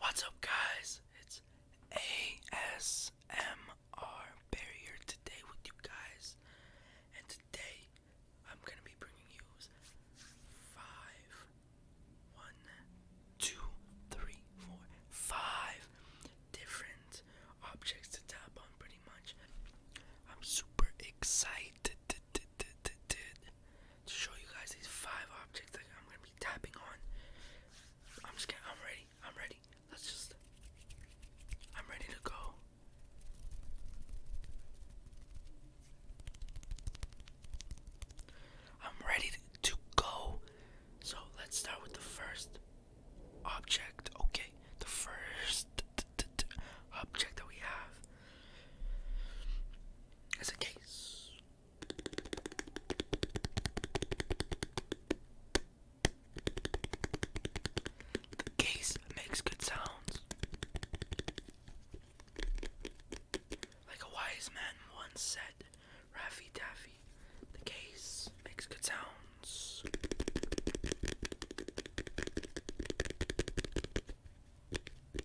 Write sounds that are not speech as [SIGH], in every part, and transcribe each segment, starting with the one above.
What's up, guys? It's ASMR Barrier today with you guys, and today I'm gonna be bringing you five, one, two, three, four, five different objects to tap on, pretty much. I'm super excited to show you guys these five objects that I'm gonna be tapping on. I'm just kidding. I'm ready. I'm ready. Let's just. I'm ready to go. I'm ready to go. So let's start with the first object. Okay, the first object that we have is a case. The case makes good sounds. Like a wise man once said, Raffy Taffy, the case makes good sounds.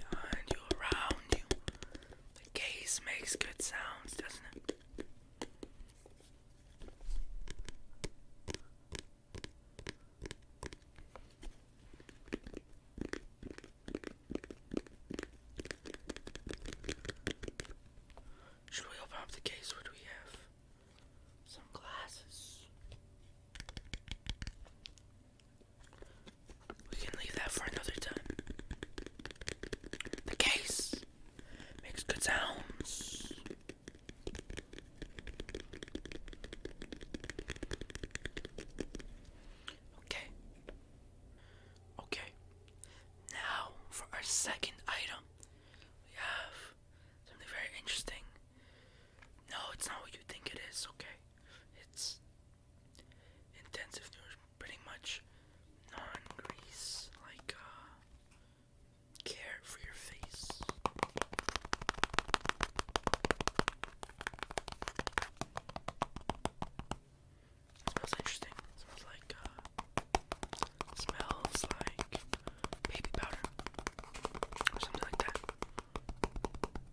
Behind you, around you. The case makes good sounds, doesn't it? Should we open up the case? What we have? Some glasses. We can leave that for another time. The case makes good sounds. Okay. Okay. Now for our second item, we have something very interesting. No, it's not what you think it is, okay? It's intensive news, pretty much non-grease, like uh, care for your face. smells interesting. smells like uh, smells like baby powder or something like that.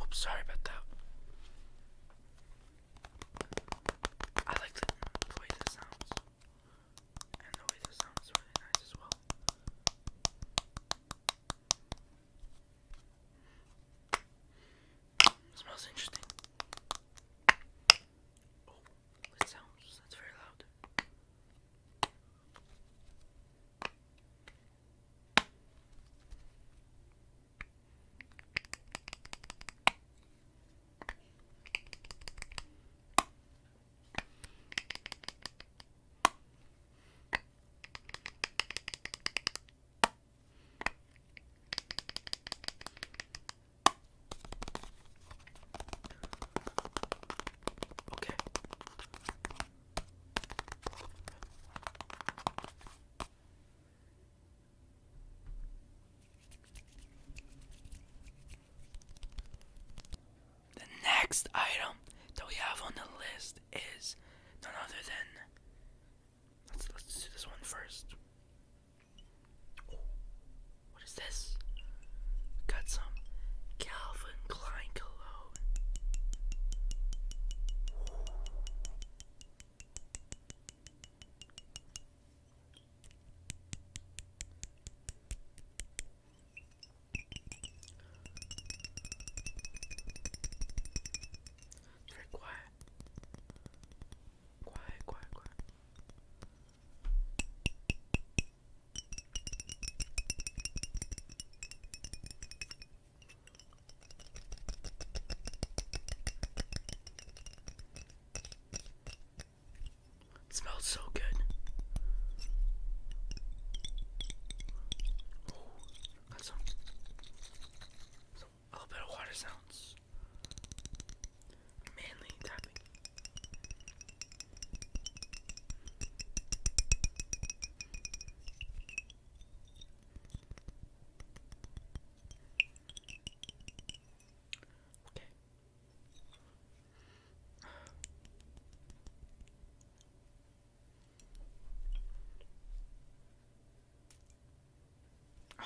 Oops, sorry about that. I like the, way this sounds. And the way this sounds really nice as well. smells interesting. Oh. It sounds that's very loud. Okay. The next item that we have on the list is none other than. Let's, let's do this one first. What is this? We got some Calvin Klein cologne. It's very quiet. Quiet, quiet, quiet. It smells so good. Oh, got some, some a little bit of water sounds. Mainly topic. Okay.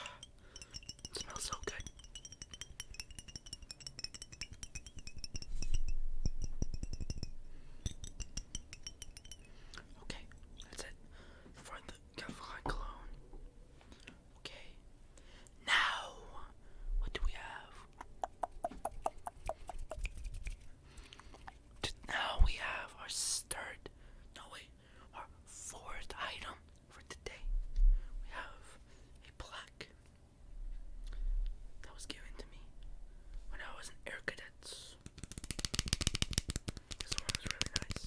[SIGHS] it smells so good. Okay, that's it. Find the Gavrai clone. Okay. Now, what do we have? Now we have our third, no wait, our fourth item for today. We have a plaque that was given to me when I was an air cadets. This one was really nice.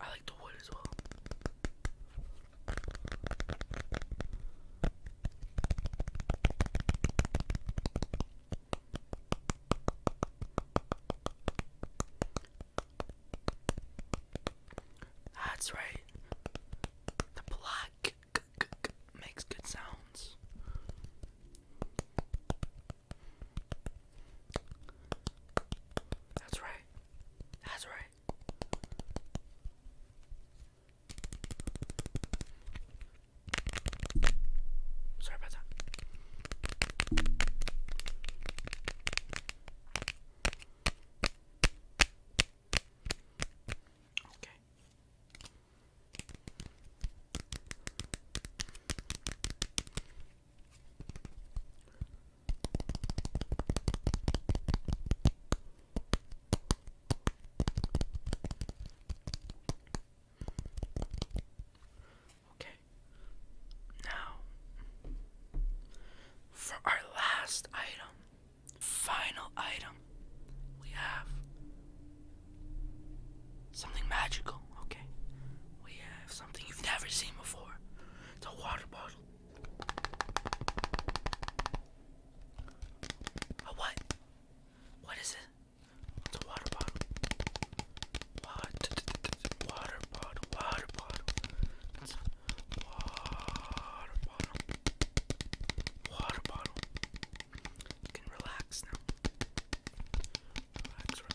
I like the wood as well. That's right. The block makes good sounds. That's right. That's right. Sorry about that. Okay. Okay. Now, for our last item, final item, we have Something magical, okay? We have something you've never seen before. It's a water bottle. A what? What is it? It's a water bottle. Water, water bottle, water bottle. It's a water bottle. Water bottle. You can relax now. relax.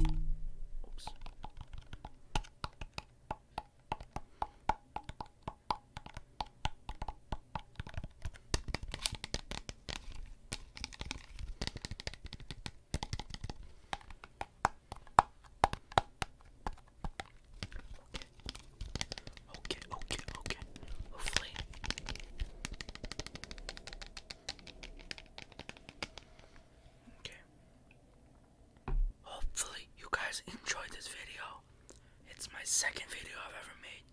Oops. Okay, okay, okay. Hopefully, Okay. Hopefully, you guys enjoyed this video. It's my second video I've ever made,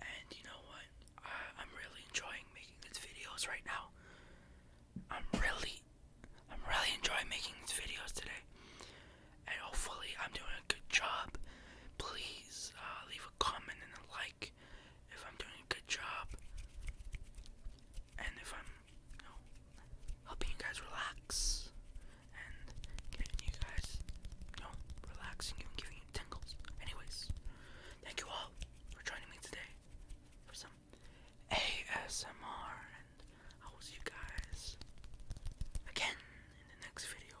and you know what? I, am really enjoying making these videos right now. I'm really, I'm really enjoying making these videos today, and hopefully, I'm doing a good job. Please uh, leave a comment and a like if I'm doing a good job and if I'm you know, helping you guys relax and getting you guys you know, relaxing and giving you tingles. Anyways, thank you all for joining me today for some ASMR and I will see you guys again in the next video.